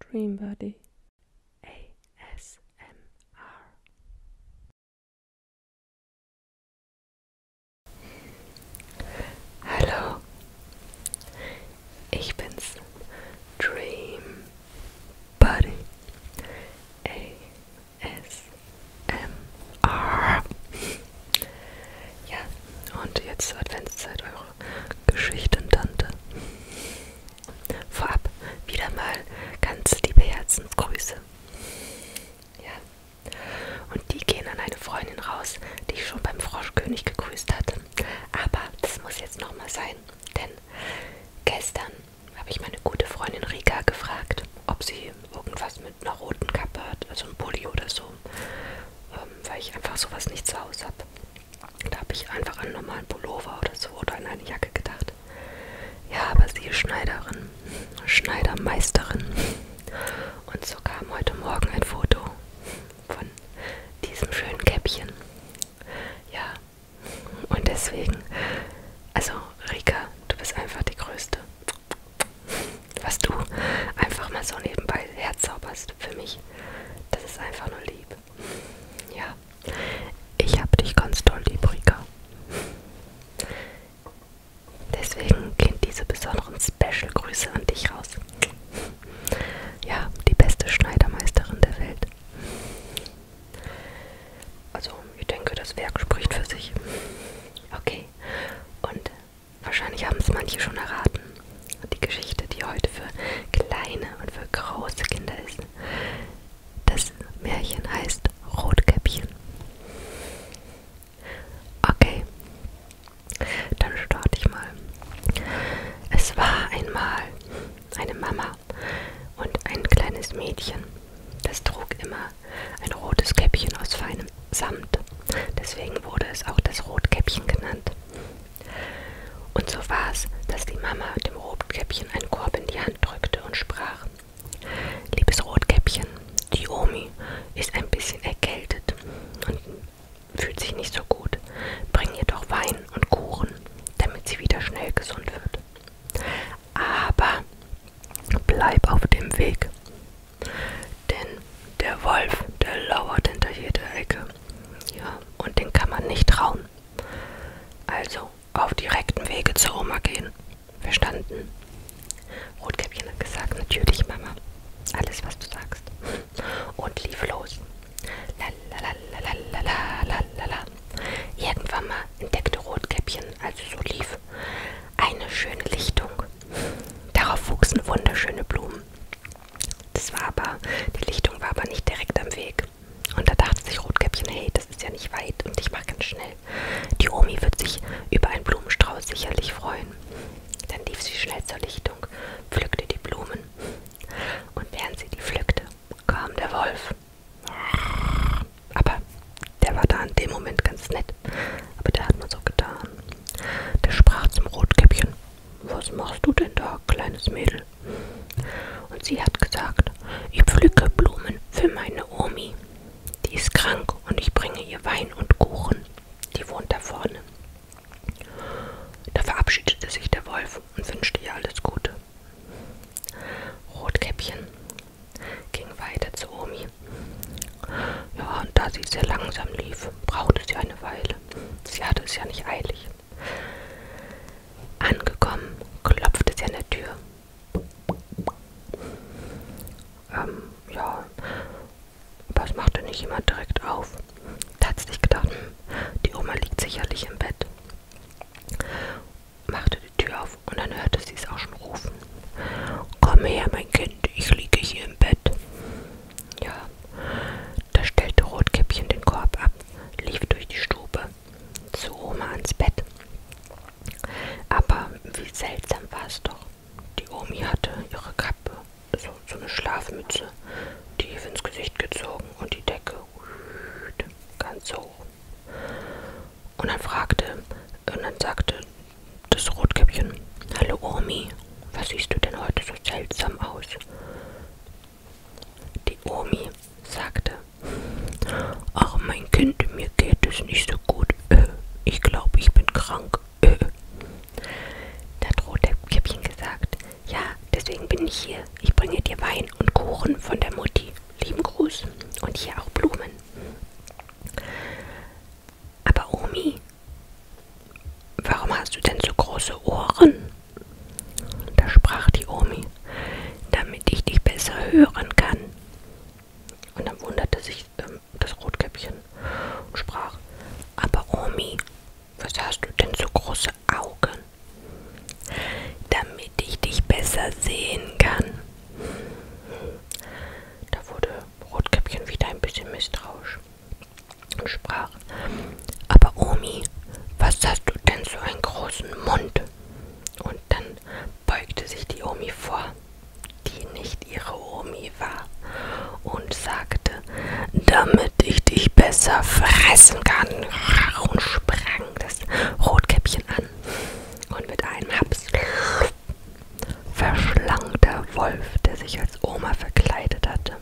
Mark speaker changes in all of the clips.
Speaker 1: Dreambody ASMR. Hallo, ich bin's, Dreambody ASMR. Ja, und jetzt Adventszeit, eure noch Geschichtentante. Vorab wieder mal ganz liebe Herzensgrüße. Ja. Und die gehen an eine Freundin raus, die ich schon beim Froschkönig gegrüßt hatte. Aber das muss jetzt nochmal sein, denn gestern habe ich meine gute Freundin Rika gefragt, ob sie irgendwas mit einer roten Kappe hat, also ein Pulli oder so, ähm, weil ich einfach sowas nicht zu Hause habe. Da habe ich einfach an einen normalen Pullover oder so oder an eine Jacke gedacht. Ja, aber sie ist Schneiderin, Schneidermeisterin. Und so kam heute Morgen ein Foto von diesem schönen Käppchen. Ja, und deswegen, also Rika, du bist einfach die Größte. Was du einfach mal so nebenbei herzauberst für mich, das ist einfach nur lieb. Ja, ich hab dich ganz toll, lieb, Rika. Deswegen gehen diese besonderen Special-Grüße an dich raus. Ja, die beste Schneidermeisterin der Welt. Also, ich denke, das Werk spricht für sich. Okay, und wahrscheinlich haben es manche schon erraten die Geschichte, die heute für kleine und für große Kinder ist. Das Märchen heißt Rotkäppchen. Okay, dann starte ich mal. Es war einmal eine Mama und ein kleines Mädchen. Das trug immer ein rotes Käppchen aus feinem Samt. Deswegen wurde es auch das Rotkäppchen genannt. Und so war's, dass die Mama dem Rotkäppchen einen Korb in die Hand drückte und sprach: Liebes Rotkäppchen, die Omi ist ein bisschen erkältet und fühlt sich nicht so gut. Bring ihr doch Wein und Kuchen, damit sie wieder schnell gesund wird. Aber bleib auf dem Weg, denn der Wolf, der lauert hinter jeder Ecke. Ja, und den kann man nicht trauen. Also auf direktem Wege zur Oma gehen. Verstanden? Rotkäppchen hat gesagt, natürlich, Mama. Alles, was du sagst. Und lief los. Lalalalalalala. Irgendwann mal entdeckte Rotkäppchen, als es so lief, eine schöne Lichtung. Darauf wuchsen wunderschöne Blumen. Das war aber, die Lichtung war aber nicht direkt am Weg. Und da dachte sich Rotkäppchen, hey, das ist ja nicht weit und ich mache ganz schnell. Die Omi wird sich über einen Blumenstrauß sicherlich freuen. Dann lief sie schnell zur Lichtung, pflückte die Blumen. Und während sie die pflückte, kam der Wolf. Aber der war da in dem Moment ganz nett. Aber der hat nur so getan. Der sprach zum Rotkäppchen. Was machst du denn da, kleines Mädel? Und sie hat gesagt, ich pflücke Blumen für meine Omi. Die ist krank und ich bringe ihr Wein und Kuchen. Die wohnt da vorne. Da verabschiedete sich der Wolf und wünschte ihr alles Gute. Rotkäppchen ging weiter zu Omi. Ja, und da sie sehr langsam lief, brauchte sie eine Weile. Sie hatte es ja nicht eilig. Angekommen klopfte sie an der Tür. Ähm, ja, aber es machte nicht jemand direkt auf. Da hat sie sich gedacht, hm, die Oma liegt sicherlich im Bett. Machte die Tür auf und dann hörte sie es auch schon rufen. Komm her, mein Kind, ich liege hier im Bett. Ja, da stellte Rotkäppchen den Korb ab, lief durch die Stube zu Oma ans Bett. Aber wie seltsam war es doch. Die Omi hatte ihre Kappe, so, so eine Schlafmütze, tief ins Gesicht gezogen und die Decke ganz hoch. Und dann fragte, und dann sagte das Rotkäppchen, Hallo Omi, was siehst du denn heute so seltsam aus? Die Omi sagte, Ach mein Kind, mir geht es nicht so gut. Äh, ich glaube, ich bin krank. Äh. Da hat Rotkäppchen gesagt, ja, deswegen bin ich hier. Ich bringe dir Wein und Kuchen von der Mutti. Lieben Gruß und hier auch Blumen. Aber Omi, warum hast du denn so große Ohren? Da sprach die Omi, damit ich dich besser hören kann. Und dann wunderte sich ähm, das Rotkäppchen und sprach, aber Omi, was hast du denn so große Augen? Damit ich dich besser sehen kann. Da wurde Rotkäppchen wieder ein bisschen misstrauisch sprach, aber Omi, was hast du denn so einen großen Mund? Und dann beugte sich die Omi vor, die nicht ihre Omi war, und sagte, damit ich dich besser fressen kann, und sprang das Rotkäppchen an. Und mit einem Haps verschlang der Wolf, der sich als Oma verkleidet hatte,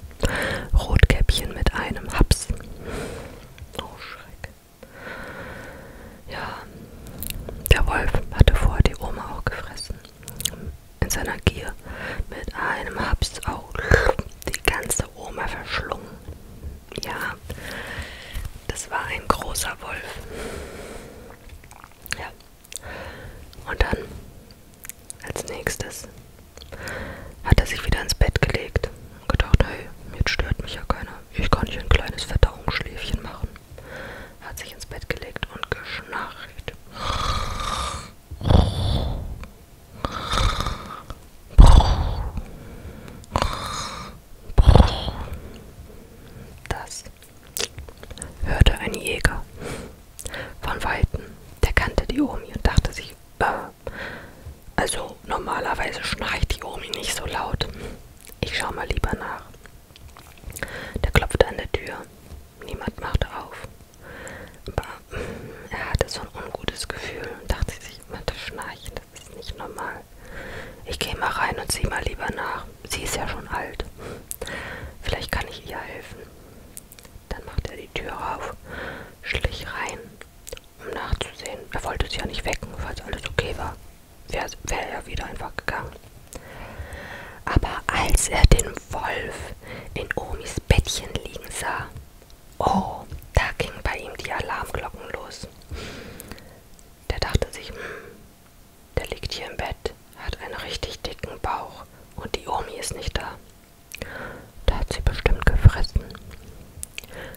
Speaker 1: Rotkäppchen mit einem Haps. Oh, Schreck. Ja, der Wolf hatte vorher die Oma auch gefressen. In seiner Gier mit einem Haps auch die ganze Oma verschlungen. Ja, das war ein großer Wolf. Ja. Und dann als nächstes hat er sich wieder ins Bett gelegt und gedacht, hey, jetzt stört mich ja keiner. Ich kann hier ein kleines Verdauungsschläfchen machen. Hat sich ins Bett gelegt und geschnarcht. Das hörte ein Jäger von Weitem. Der kannte die Omi und dachte sich, ah, also normalerweise schnarcht die Omi nicht so laut. Ich schau mal lieber nach. Der klopft an der Tür. Niemand machte auf. Aber mm, er hatte so ein ungutes Gefühl und dachte sich, jemand schnarcht. Das ist nicht normal. Ich gehe mal rein und sieh mal lieber nach. Sie ist ja schon alt. Vielleicht kann ich ihr helfen. Dann machte er die Tür auf, schlich rein um nachzusehen. Er wollte sie ja nicht wecken, falls alles okay war. Wäre wär er wieder einfach gegangen. Aber als er den Wolf in Omis Bettchen liegen sah, oh, da ging bei ihm die Alarmglocken los. Der dachte sich, hm, der liegt hier im Bett, hat einen richtig dicken Bauch und die Omi ist nicht da. Da hat sie bestimmt gefressen.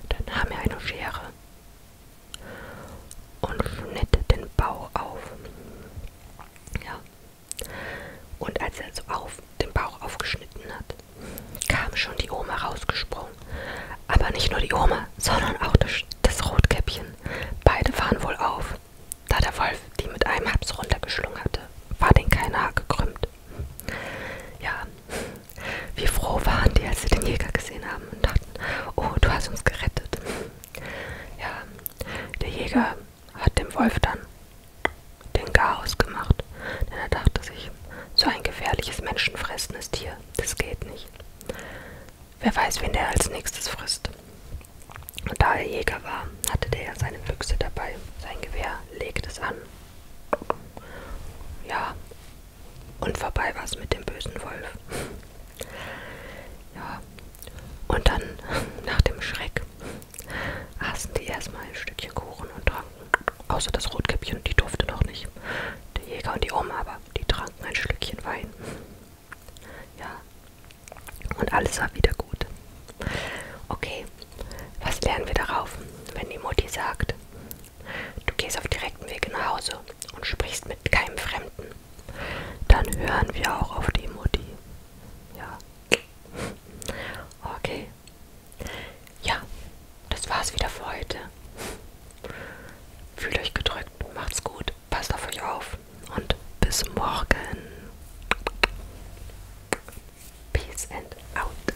Speaker 1: Dann nahm er eine Schere und schnitt den Bauch auf. Ja. Und als er so auf den Bauch aufgeschnitten hat, kam schon die Oma rausgesprungen. Aber nicht nur die Oma, sondern auch das, das Rotkäppchen. Beide waren wohl auf. Da der Wolf die mit einem Haps runtergeschlungen hatte, war den keiner gekrümmt. Ja, wie froh waren die, als sie den Jäger gesehen haben und dachten, oh, du hast uns gerettet. Ja, der Jäger hat dem Wolf dann den Chaos gemacht, denn er dachte sich, so ein gefährliches, menschenfressendes Tier, das geht nicht. Wer weiß, wen der als nächstes frisst. Und da er Jäger war, hatte der ja seine Büchse dabei, sein Gewehr, legte es an ja, und vorbei war es mit dem bösen Wolf. Ja, und dann, nach dem Schreck, aßen die erstmal ein Stückchen Kuchen und tranken. Außer das Rotkäppchen, die durfte noch nicht. Der Jäger und die Oma aber, die tranken ein Schlückchen Wein. Ja, und alles war wieder gut. Okay, was lernen wir darauf, wenn die Mutti sagt, du gehst auf direktem Weg nach Hause und sprichst mit keinem Fremden? Dann hören wir auch auf die Mutti. Ja. Okay. Ja, das war's wieder für heute. Fühlt euch gedrückt, macht's gut, passt auf euch auf und bis morgen. Peace and out.